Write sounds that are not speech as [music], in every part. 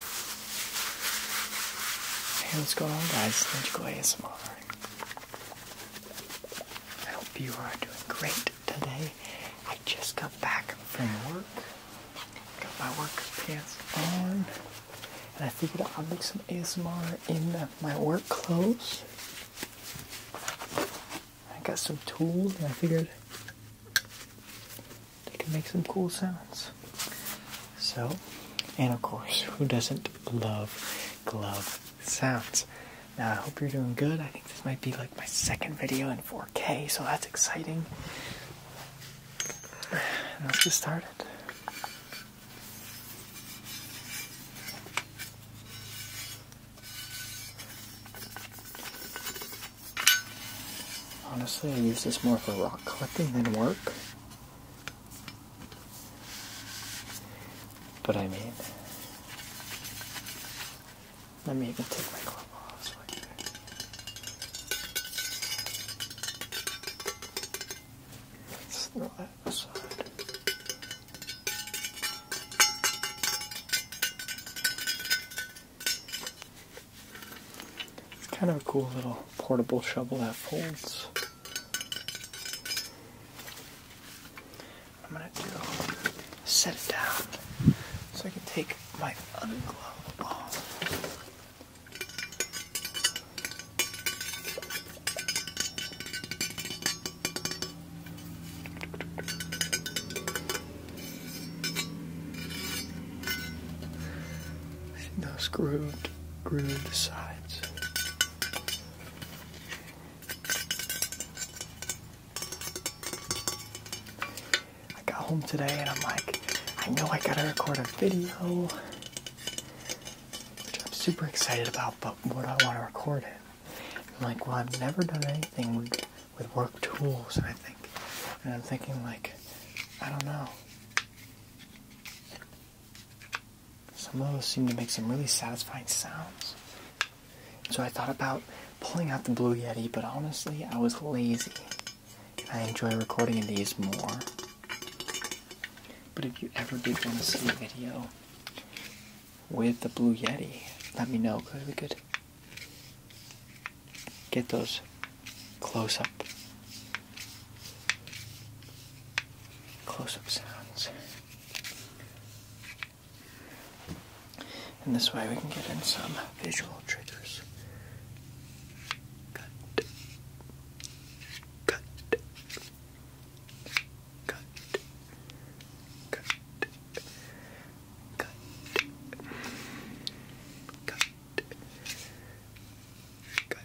Hey, what's going on, guys? Let's Magical ASMR. I hope you are doing great today. I just got back from work. Got my work pants on. And I figured I'll make some ASMR in my work clothes. I got some tools and I figured they can make some cool sounds. So, and of course, who doesn't love glove sounds? Now, I hope you're doing good. I think this might be like my second video in 4K, so that's exciting. [sighs] Let's get started. Honestly, I use this more for rock collecting than work. But I mean, let me even take my glove off Let's throw that aside. It's kind of a cool little portable shovel that folds. I'm gonna set it down so I can take my other glove off and those grooved, grooved sides. I got home today and I'm like, I know I gotta record a video, which I'm super excited about, but what do I wanna record it? I'm like, well, I've never done anything with, with work tools, I think. And I'm thinking like, I don't know. Some of those seem to make some really satisfying sounds. So I thought about pulling out the Blue Yeti, but honestly, I was lazy. I enjoy recording these more. But if you ever did want to see a video with the Blue Yeti, let me know because we could get those close up close up sounds. And this way we can get in some visual triggers. Cut. Cut. Cut. Cut. Cut. Cut. Cut.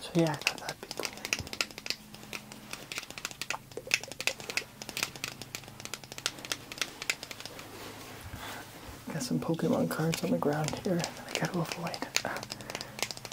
So yeah, Got some Pokemon cards on the ground here I gotta avoid.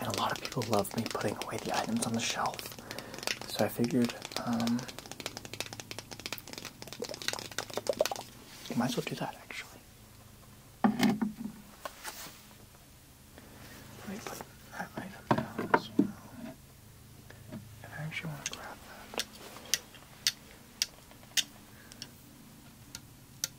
And a lot of people love me putting away the items on the shelf. So I figured, I um, might as well do that actually. Let me put that item down as well. I actually want to grab that.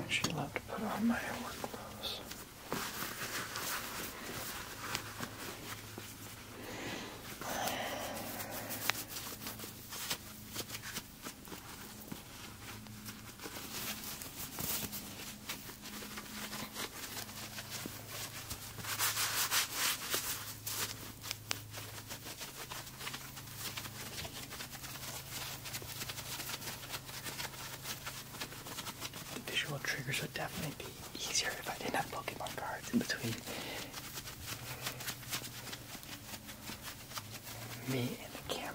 I actually love to put on my work clothes. The visual triggers are definitely easier if I didn't have Pokemon cards in between me and the camera.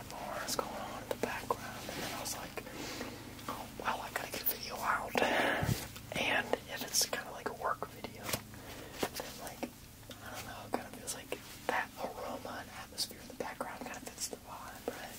lot more is going on in the background. And then I was like, oh, well, I gotta get a video out. And if it's kind of like a work video, then like, I don't know, it kind of feels like that aroma and atmosphere in the background kind of fits the vibe, right?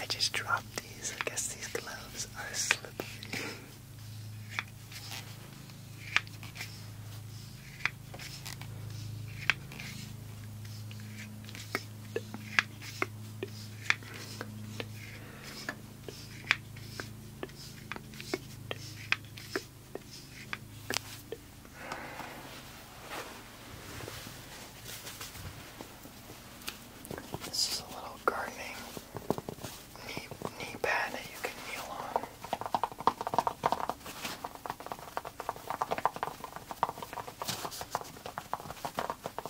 I just dropped these. I guess these gloves are slippery. This is a little gardening knee, knee pad that you can kneel on.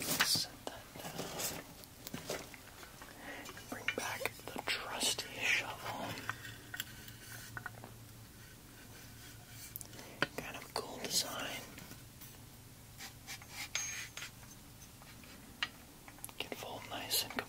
Let's set that down. Bring back the trusty shovel. Kind of cool design. Can fold nice and compact.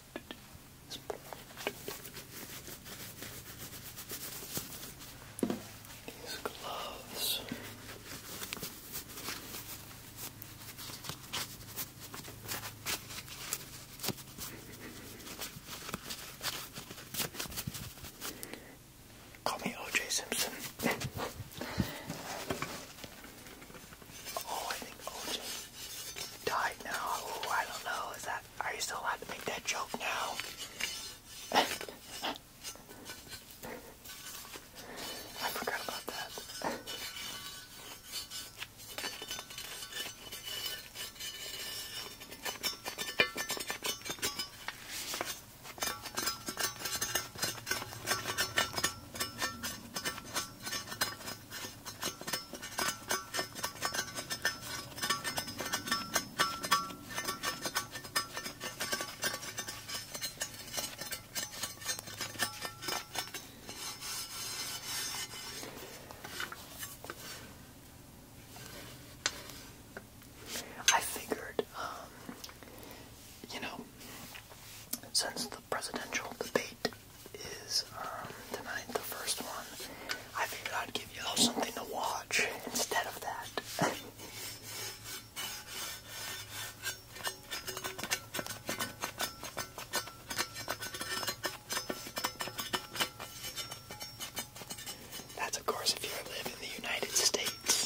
These gloves. Call me OJ Simpson. Oh, I think OJ died now. Oh, I don't know. Is that? Are you still allowed to make that joke now? [laughs] I forgot about that. I figured, um, you know, since the presidential debate is um, tonight the first one. I figured I'd give you all something to watch instead of that. [laughs] That's of course if you live in the United States.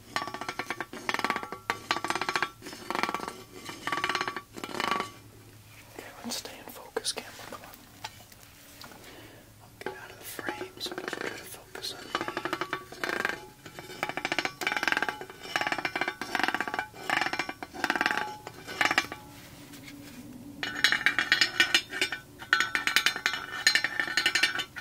Okay, let's stay in focus, camera. Come on. I'll get out of the frame so I can try to focus on me. Okay, let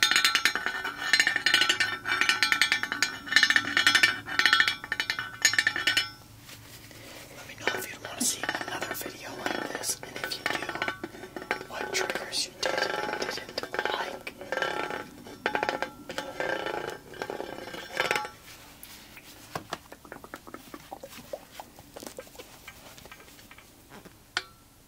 me know if you'd want to see another video like this, and if you do, what triggers you did and didn't like.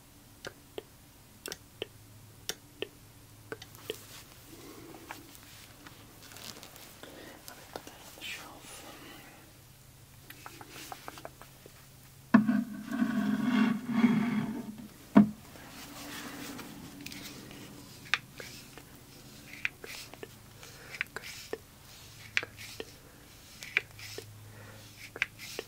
Good. Good. Good. Good. Let me put that on the shelf. Good. Good. Good. Good. Good.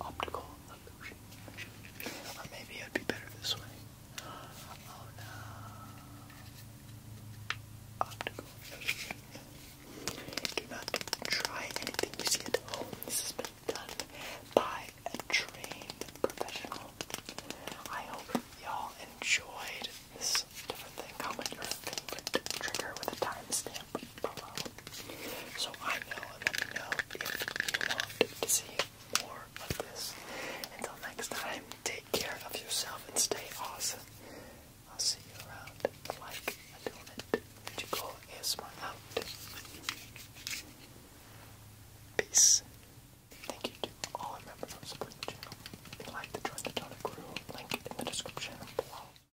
Optical illusion. Or maybe it'd be better this way. Oh no. Optical illusion. Do not try anything you see at home. This has been done by a trained professional. I hope y'all enjoyed this different thing. Comment your favorite trigger with a timestamp. So I know and let me know if you want to see more of this. Until next time, take care of yourself and stay awesome. I'll see you around. Like a donut. You go out. Peace. Thank you to all members who support the channel. like to join the donut crew, link in the description below.